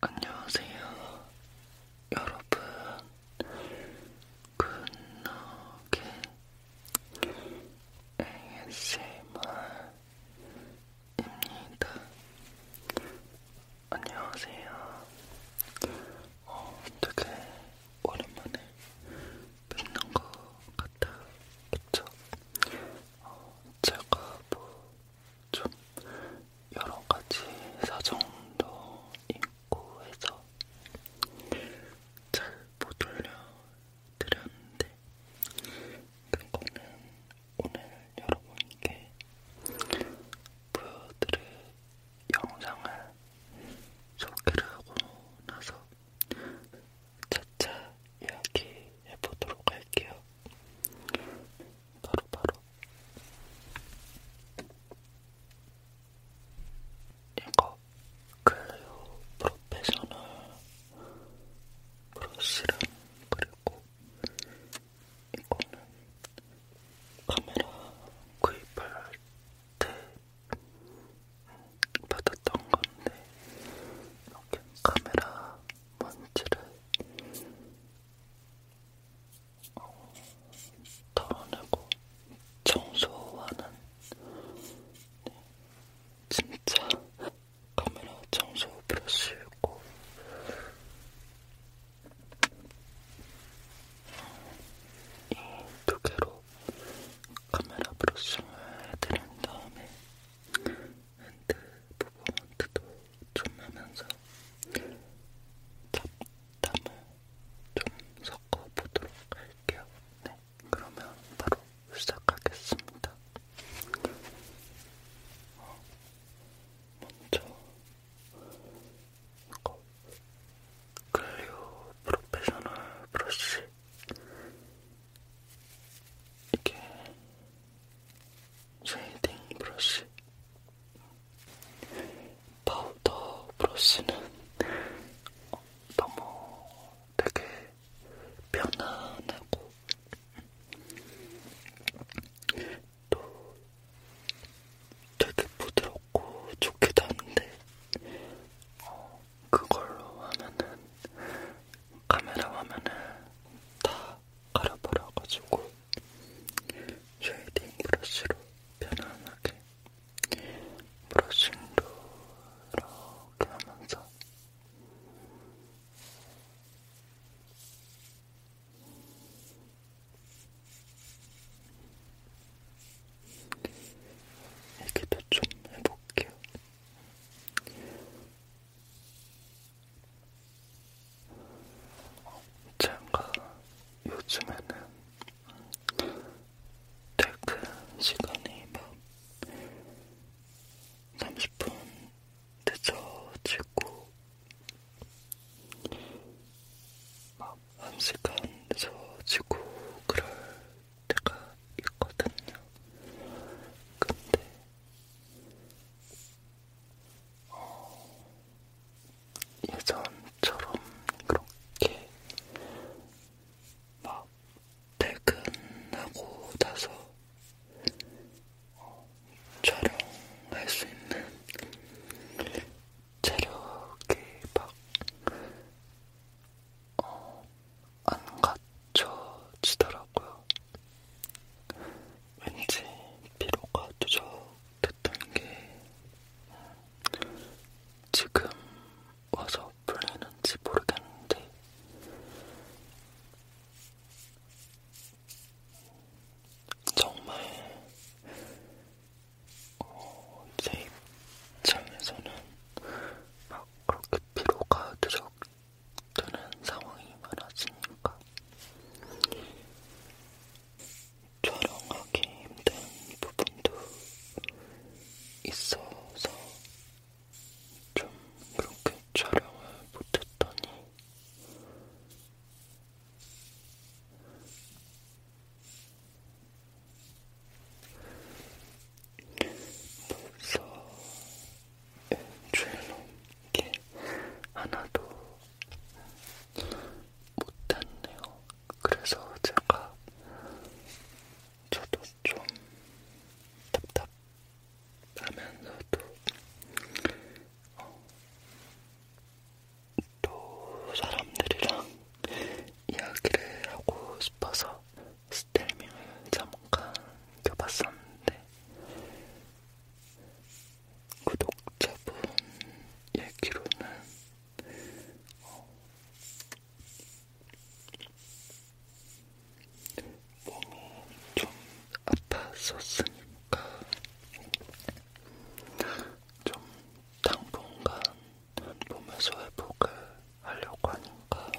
안녕하세요, 여러분. 굿노게 ASMR입니다. 안녕하세요. 어, 되게 오랜만에 뵙는 것 같아요. 그쵸? 어, 제가 뭐좀 여러 가지 사정도 있고 해서 잘못 올려드렸는데 그거는 오늘 여러분께 보여드릴 영상을 소개를 하고 나서 차차 이야기해보도록 할게요. 바로 바로 이거 클레오 프로페셔널 브러쉬랑 그리고 이거는 카메라 구입할 때 받았던 건데 이렇게 카메라 먼지를 어, 털어내고 청소하는 네, 진짜 카메라 청소 브러쉬고 이두 개로 카메라 브러싱을 해드린 다음에 핸드 부분도 좀 하면서 잡담을 좀 섞어보도록 할게요. 네, 그러면 바로 시작하겠습니다. 어, 먼저 이거 클리오 프로페셔널 브러쉬 이게 쉐이딩 브러쉬 파우더 브러쉬는 어, 너무 되게 편안하고 또 되게 부드럽고 좋기도 한데 어, 그걸로 하면은 카메라 화면을 다 가려버려가지고 쉐이딩 브러쉬로 편안하게 브러싱도 이렇게 하면서 얘기도 좀 해볼게요. 제가 요즘에는 퇴근 시간이 막 30분 늦어지고 막 1시간 늦어지고 그럴 때가 있거든요. 근데 예전처럼 그렇게 막 퇴근하고 나서 어, 촬영할 수 있는 체력이 막 어, 안 갖춰지더라고요. 왠지 피로가 누적됐던 게 지금 와서 풀리는지 모르겠는데 정말 어, 제 입장에서는 막 그렇게 피로가 누적 되는 상황이 많았으니까 촬영하기 힘든 부분도 있어서 좀 그렇게 촬영을 못했더니 벌써 연주를 게 하나도 못했네요. 그래서 제가 저도 좀 답답하면서도 어, 또 사람들이랑 이야기를 하고 싶어서 스텔밍을 잠깐 껴봤었는데 구독자분 얘기로는 어, 몸이 좀 아팠었으니까 좀 당분간 몸에서 회복을 하려고 하니까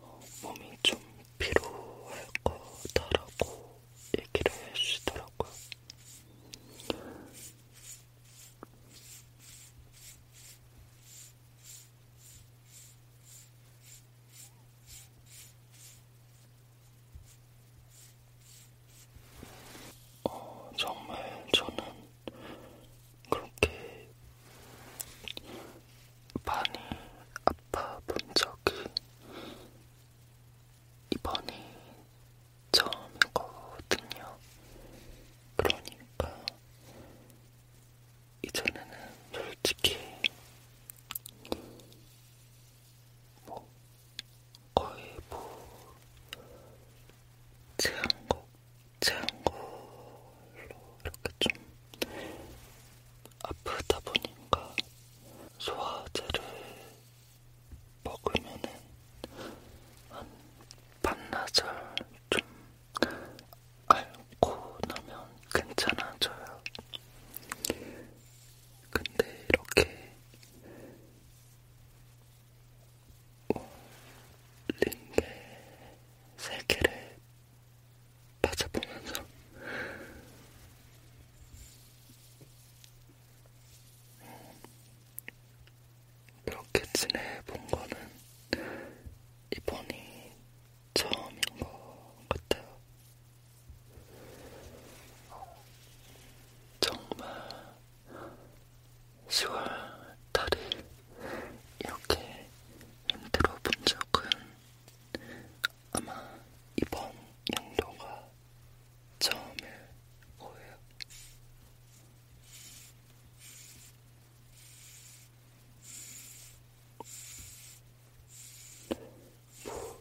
어, 몸이 좀 피로할 거다라고 얘기를 해주시더라고요. 어, 정말 저는 그렇게 많이 아파 본 적이 이번이 처음이거든요. 그러니까 이전에는 솔직히 뭐 거의 뭐 제한곡 제한곡으로 이렇게 좀 아프다 보니까 소화제를 먹으면은 한 반나절 좀 앓고 나면 괜찮아져요. 근데 이렇게 링게 세 개를 맞아보면서 그렇게 지내본 거는 이번이 처음인 것 같아요. 정말 10월 달이 이렇게 힘들어 본 적은 아마 이번 연도가 처음일 거예요.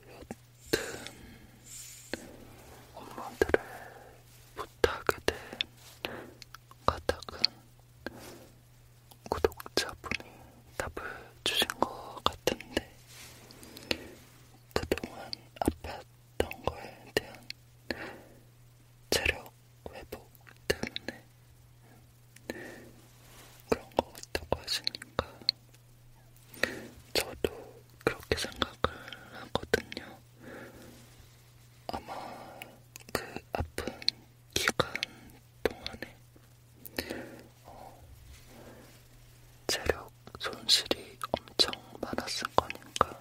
뭐 여튼 엄마들의 부탁에 대한 가닥은 구독자분이 답을 주신 것 같은데 그동안 아팠던 거에 대한 체력 회복 때문에 그런 거 같다고 하시니까 저도 그렇게 생각을 하거든요. 아마 그 아픈 기간 동안에 어, 체력 손실이 엄청 많았을 거니까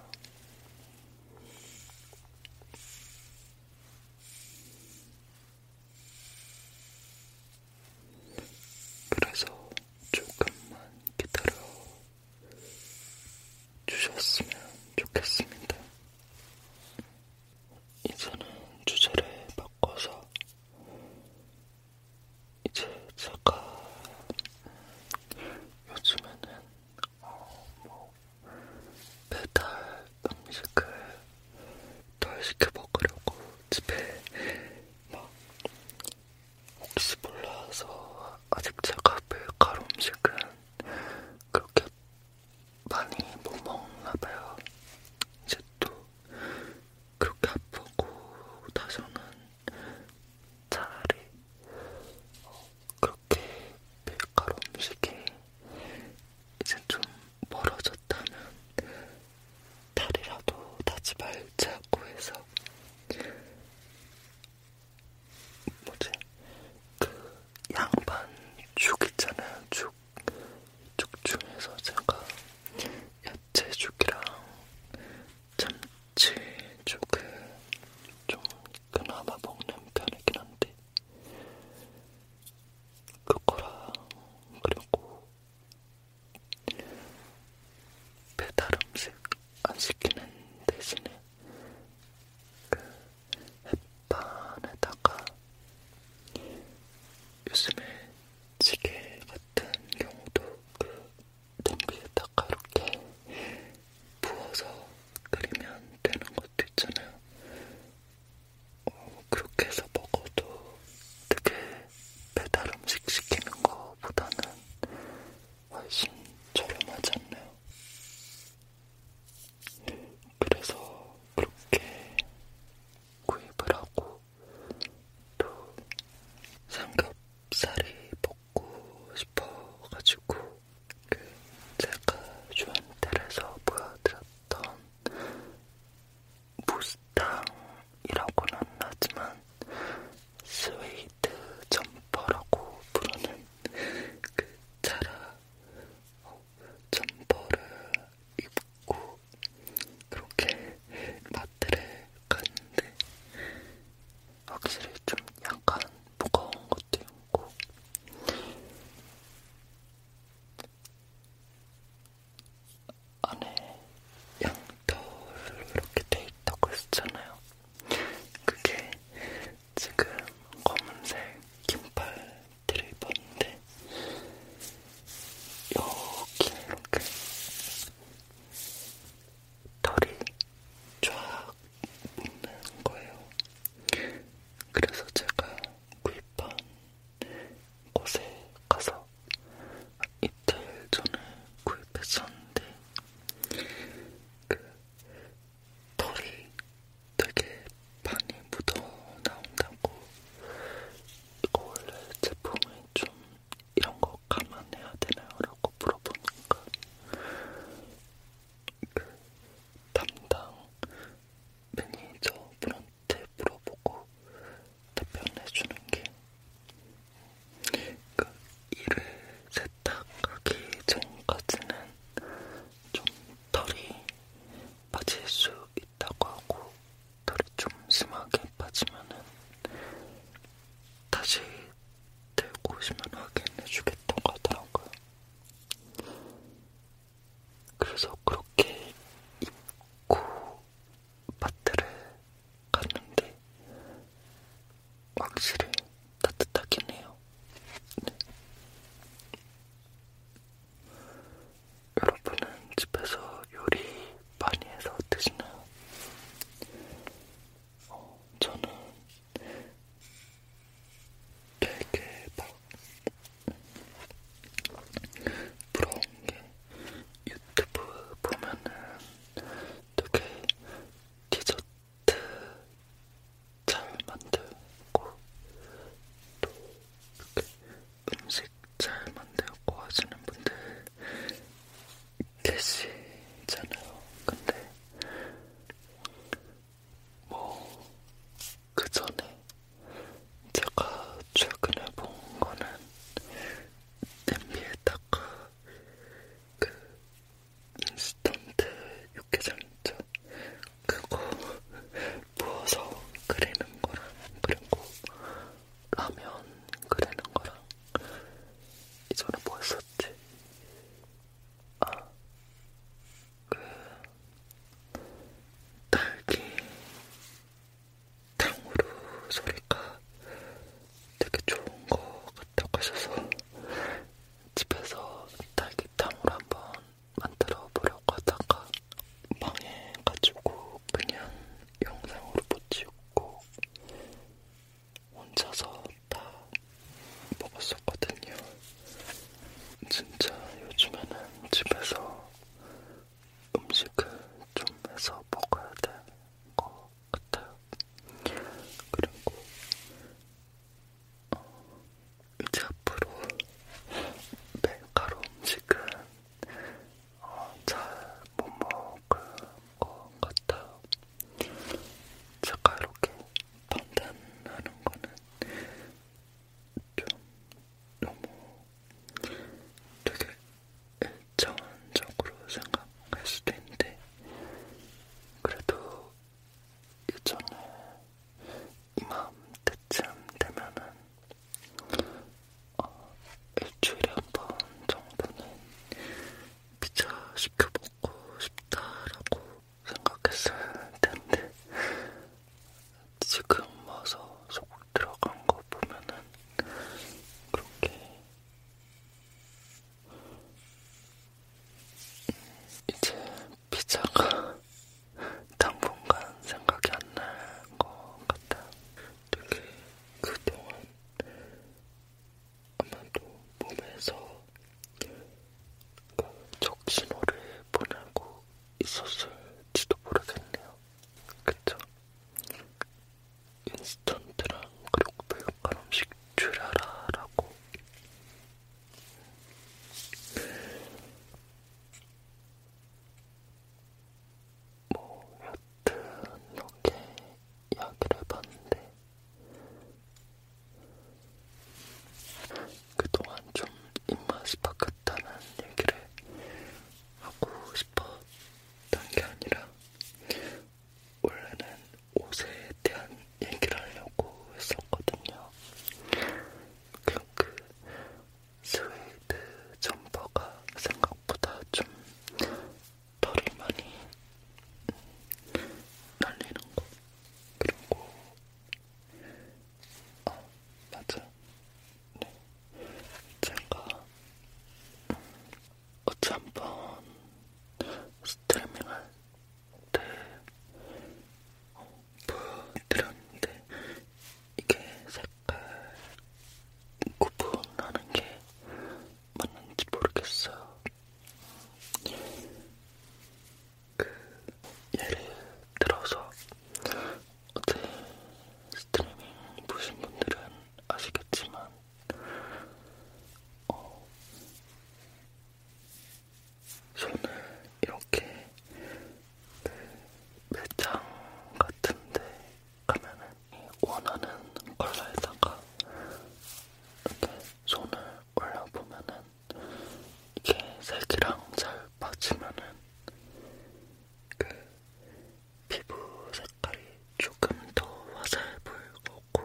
그래서 조금만 기다려 주셨으면 좋겠습니다. 이제는 주제를 바꿔서 이제 제가 요즘에는 어, 뭐 배달 음식을 덜 시켜 먹으려고 집에 막 혹시 몰라서 아직 제가 밀가루 음식은 그렇게 많이 못 먹나봐요. 이제 또 그렇게 아프고 나서는 차라리 어, 그렇게 밀가루 음식이 이제 좀 멀어졌다면 다리라도 다지 말자고 해서 뭐지? 그 양반 죽 있잖아요. 죽 이쪽 중에서 제가 야채죽이랑 참치죽을 좀 그나마 먹는 편이긴 한데 그거랑 그리고 배달 음식 안 시키는 대신에 그 햇반에다가 요즘에 지게 같은 경우도 그 냄비에다가 이렇게 부어서 끓이면 되는 것도 있잖아요. 어, 그렇게 해서 먹어도 되게 배달 음식 시키는 거보다는 훨씬 저렴하지 않나요? 그래서 그렇게 구입을 하고 또 삼겹살이 먹고 싶어가지고 그 제가 주한텔에서 보여드렸던 무스탕이라고는 하지만 스웨이드 점퍼라고 부르는 그 차라 어, 점퍼를 입고 그렇게 마트를 갔는데 확실히 좀 약간 무거운 것도 있고 안에 양털로 이렇게 돼 있다고 했잖아요. 그게 지금 검은색 긴팔 들어있었는데 이렇게 이렇게 털이 쫙 묻는 거예요. 그래서 제가 구입한 곳에 가서 이틀 전에 구입했었는데 그 털이 되게 많이 묻어 나온다고. 이거 원래 제품이 좀 이런 거 감안해야 되나요? 라고 물어보니까 그 담당 매니저분한테 물어보고 답변해주는 게그 일을 세탁하기 전까지는 좀 털이 빠질 수 있다고 하고 털이 좀 심하게 빠지면은 다시 들고 오시면 확인해주겠다고 하더라고요. 그래서 그렇게 입고 마트를 갔는데 확실히 따뜻하긴 해요. 네. 여러분은 집에서 요리 많이 해서 드시나요? 어, 저는 되게 막 부러운 게 유튜브 보면은 되게 디저트 잘 만들고 또 이렇게 음식 잘 만들고 하시는 분들 계시잖아요. 근데 뭐 그전에 제가 최근에 본 거는 냄비에다가 그 인스턴트 육개장 있죠? 그거 부어서 끓이는 거랑 그리고 라면 끓이는 거랑 이전에 뭐 했었지? 아, 그 딸기 탕후루 소리가 되게 좋은 거 같다고 하셔서 집에서 딸기 탕후루 한번 만들어 보려고 하다가 망해가지고 그냥 영상으로 못 찍고 혼자서 다 먹었었거든요. 진짜 요즘에는 집에서 음식을 좀 해서 먹어야 될 것 같아요. 그리고 어, 이제 앞으로 밀가루 음식은 어, 잘못 먹을 것 같아요. 제가 이렇게 판단하는 거는 좀 너무 되게 일정적으로 생각할 수도 있는데 그래도 예전에 이맘때쯤 되면은 어, 일주일에 한 번 정도는 피자 시켜 먹고 싶다라고 생각했을 텐데 지금 와서 속 들어간 거 보면은 그렇게 음, 이제 피자가 당분간 생각이 안 날 것 같아요. 되게 그동안 아마도 몸에서 그 적신호를 보내고 있었을지도 모르겠네요. 그쵸? 인스턴트랑 그리고 배육한 음식 줄여라라고 뭐 여튼 이렇게 이야기를 해봤는데 그동안 좀 입맛이 바뀌었다는 얘기를 하고 싶었던 게 아니라 원래는 옷에 대한 얘기를 하려고 했었거든요. 그냥 그 스웨이드 점퍼가 생각보다 좀 털이 많이 날리는 거 그리고 아 맞아 네 제가 어찌 한번 스트리밍할 때 어, 보여드렸는데 이게 색깔 구분하는 게 맞는지 모르겠어요. 그 예를 들어서 어제 스트리밍 보신 분들은 아시겠지만 어, 손을 이렇게 그 매장 같은데 가면은 원하는 컬러에다가 이렇게 손을 올려보면은 이게 색이랑 잘 맞으면은 그 피부 색깔이 조금 더 화사해 보일 거고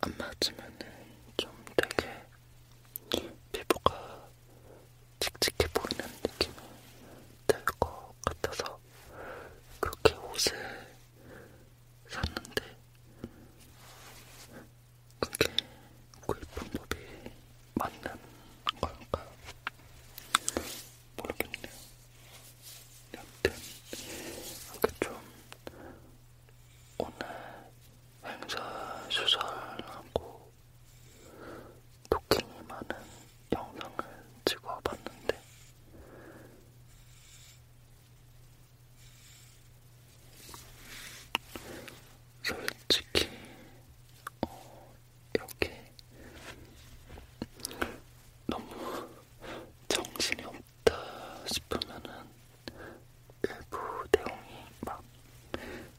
안 맞으면은 좀 되게 피부가 칙칙해 보이는 느낌이 들것 같아서 그렇게 옷을 샀는데 그게 구입 방법이 맞는 걸까 모르겠네요. 여튼 이렇게 좀 오늘 행사 수설하고 토킹이 많은 영상을 찍어봤는데 솔직히 어, 이렇게 너무 정신이 없다 싶으면은 일부 내용이 막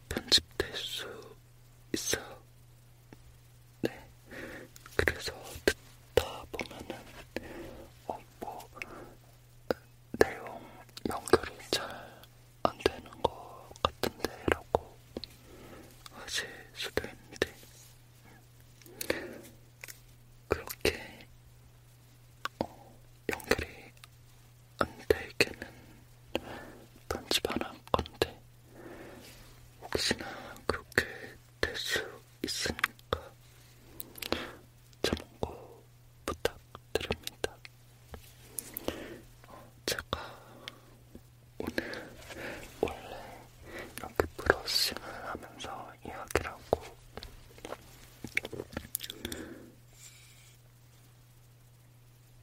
편집될 수 있어요. 네. 그래서 듣다 보면은, 어, 뭐, 내용 연결이 잘 안 되는 것 같은데 라고 하실 수도 있는데, 그렇게 어, 연결이 안되게는 편집하는 건데 혹시나 그렇게 될 수 있으니까 참고 부탁드립니다. 어, 제가 오늘 원래 이렇게 브러싱을 하면서 이야기를 하고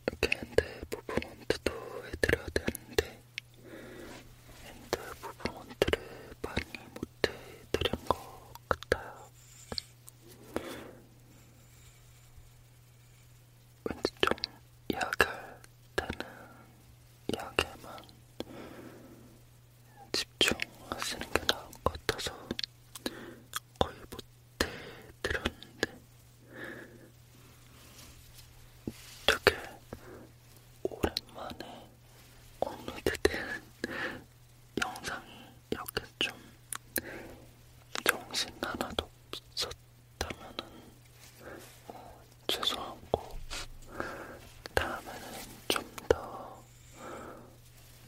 이렇게 핸드 무브먼트도 해드려야 되는데 핸드 무브먼트를 많이 못해드린 것 같아요. 왠지 좀 이야기할 때는 이야기에만 집중하시는 게 나은 것 같아서 거의 못해 들었는데 되게 오랜만에 업로드된 영상이 이렇게 좀 정신 하나도 없었다면은 어, 죄송하고 다음에는 좀 더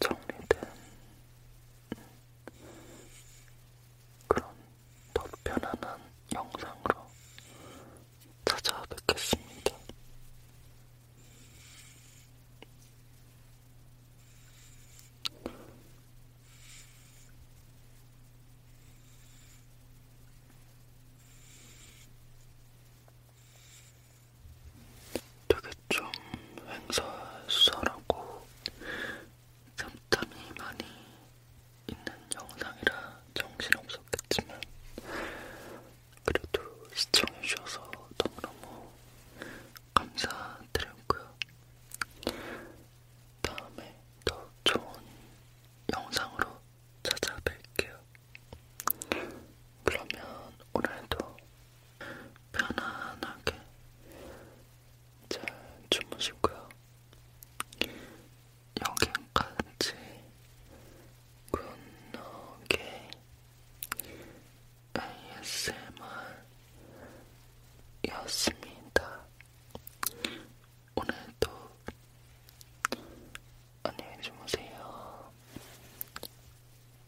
정리된 그런 더 편안한 영상으로 찾아뵙겠습니다. 되게 좀 행사수사라고 잡담이 많이 있는 영상이라 정신없었겠지만 그래도 시청해주셔서 너무너무 감사드리고요. 다음에 더 좋은 영상으로 찾아뵐게요. 그러면 오늘도 편안하게 잘 주무시고요. 여기까지 굿노게 ASMR였습니다. 오늘도 안녕히 주무세요.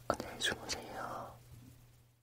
안녕히 주무세요.